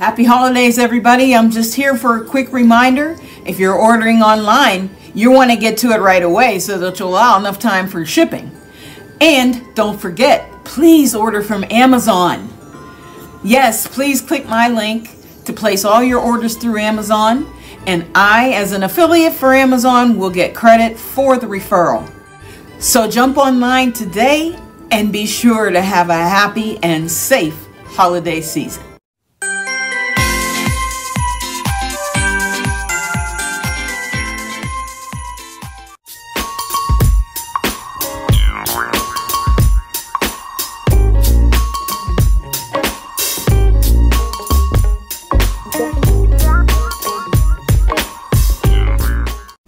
Happy holidays, everybody. I'm just here for a quick reminder. If you're ordering online, you want to get to it right away so that you'll allow enough time for shipping. And don't forget, please order from Amazon. Yes, please click my link to place all your orders through Amazon. And I, as an affiliate for Amazon, will get credit for the referral. So jump online today and be sure to have a happy and safe holiday season.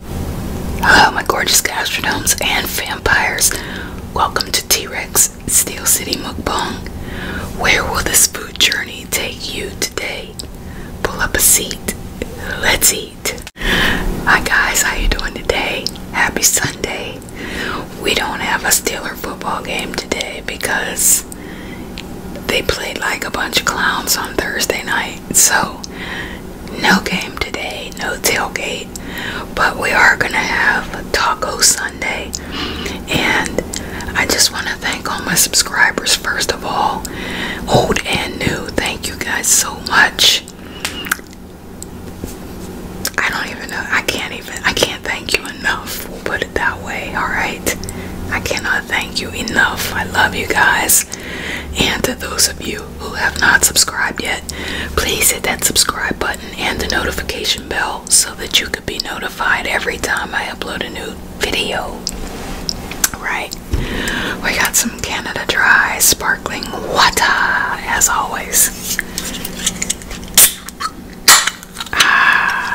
Hello, my gorgeous gastrodomes and vampires. Welcome to T Rex Steel City Mukbang. Where will this food journey take you today? Pull up a seat. Let's eat. Hi guys, how you doing today? Happy Sunday. We don't have a Steeler football game today because they played like a bunch of clowns on Thursday night. So no game today, no tailgate, but we are gonna have Taco Sunday. And I just want to thank all my subscribers, first of all, old and new. Thank you guys so much. I don't even know, I can't even, I can't thank you enough. put it that way, alright? I cannot thank you enough. I love you guys. And to those of you who have not subscribed yet, please hit that subscribe button and the notification bell so that you could be notified every time I upload a new video. Right? We got some Canada Dry sparkling water as always. Ah.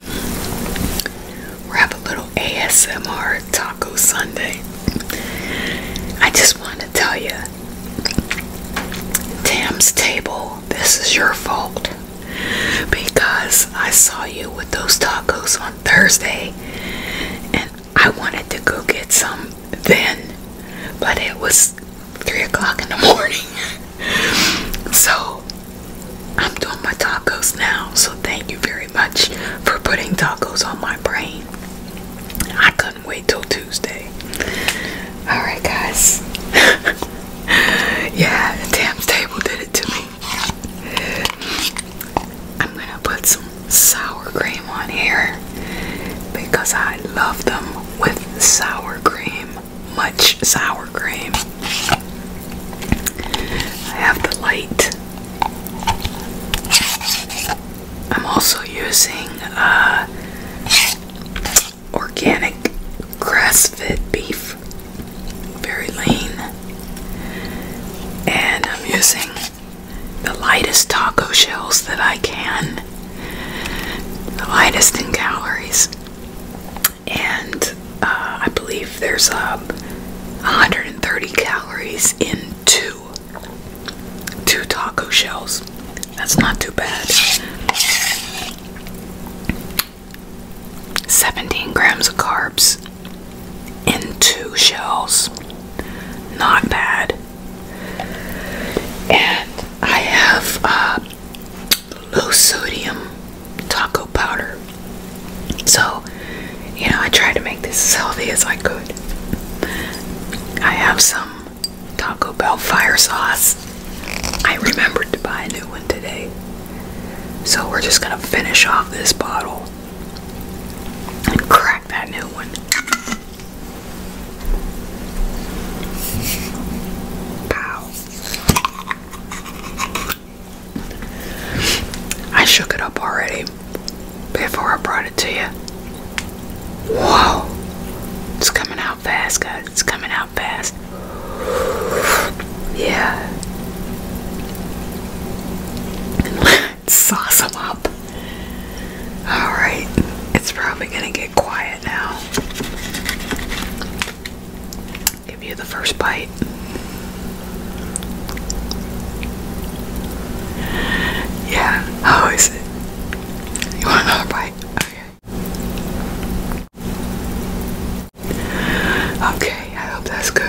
We'll have a little ASMR taco Sunday. I just want to tell you, Tam's table, this is your fault because I saw you with those tacos on Thursday and I wanted to go get some then, but it was three o'clock in the morning. so I'm doing my tacos now, so thank you very much for putting tacos on my brain. I couldn't wait till Tuesday. Alright, guys. yeah, the damn table did it to me. I'm gonna put some sour cream on here because I love them with sour cream. Much sour cream. I have the light. I'm also using uh, organic grass fed beef, very lean, and I'm using the lightest taco shells that I can, the lightest in calories and uh, I believe there's um, 130 calories in two two taco shells. That's not too bad. 17 grams of carbs in two shells. Not bad. And I have uh, low sodium taco powder. So, you know, I tried to make this as healthy as I could. I have some Taco Bell fire sauce. I remembered to buy a new one today. So we're just gonna finish off this bottle and crack that new one. Pow. I shook it up already before I brought it to you. Wow. It's coming out fast, guys. It's coming out fast. Yeah. let up. Alright. It's probably going to get quiet now. Give you the first bite. Yeah, how is it? You want another bite? Okay. Okay, I hope that's good.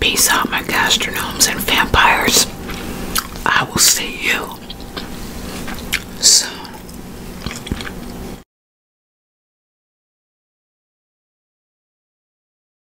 Peace out, my gastronomes and vampires. I will see you soon.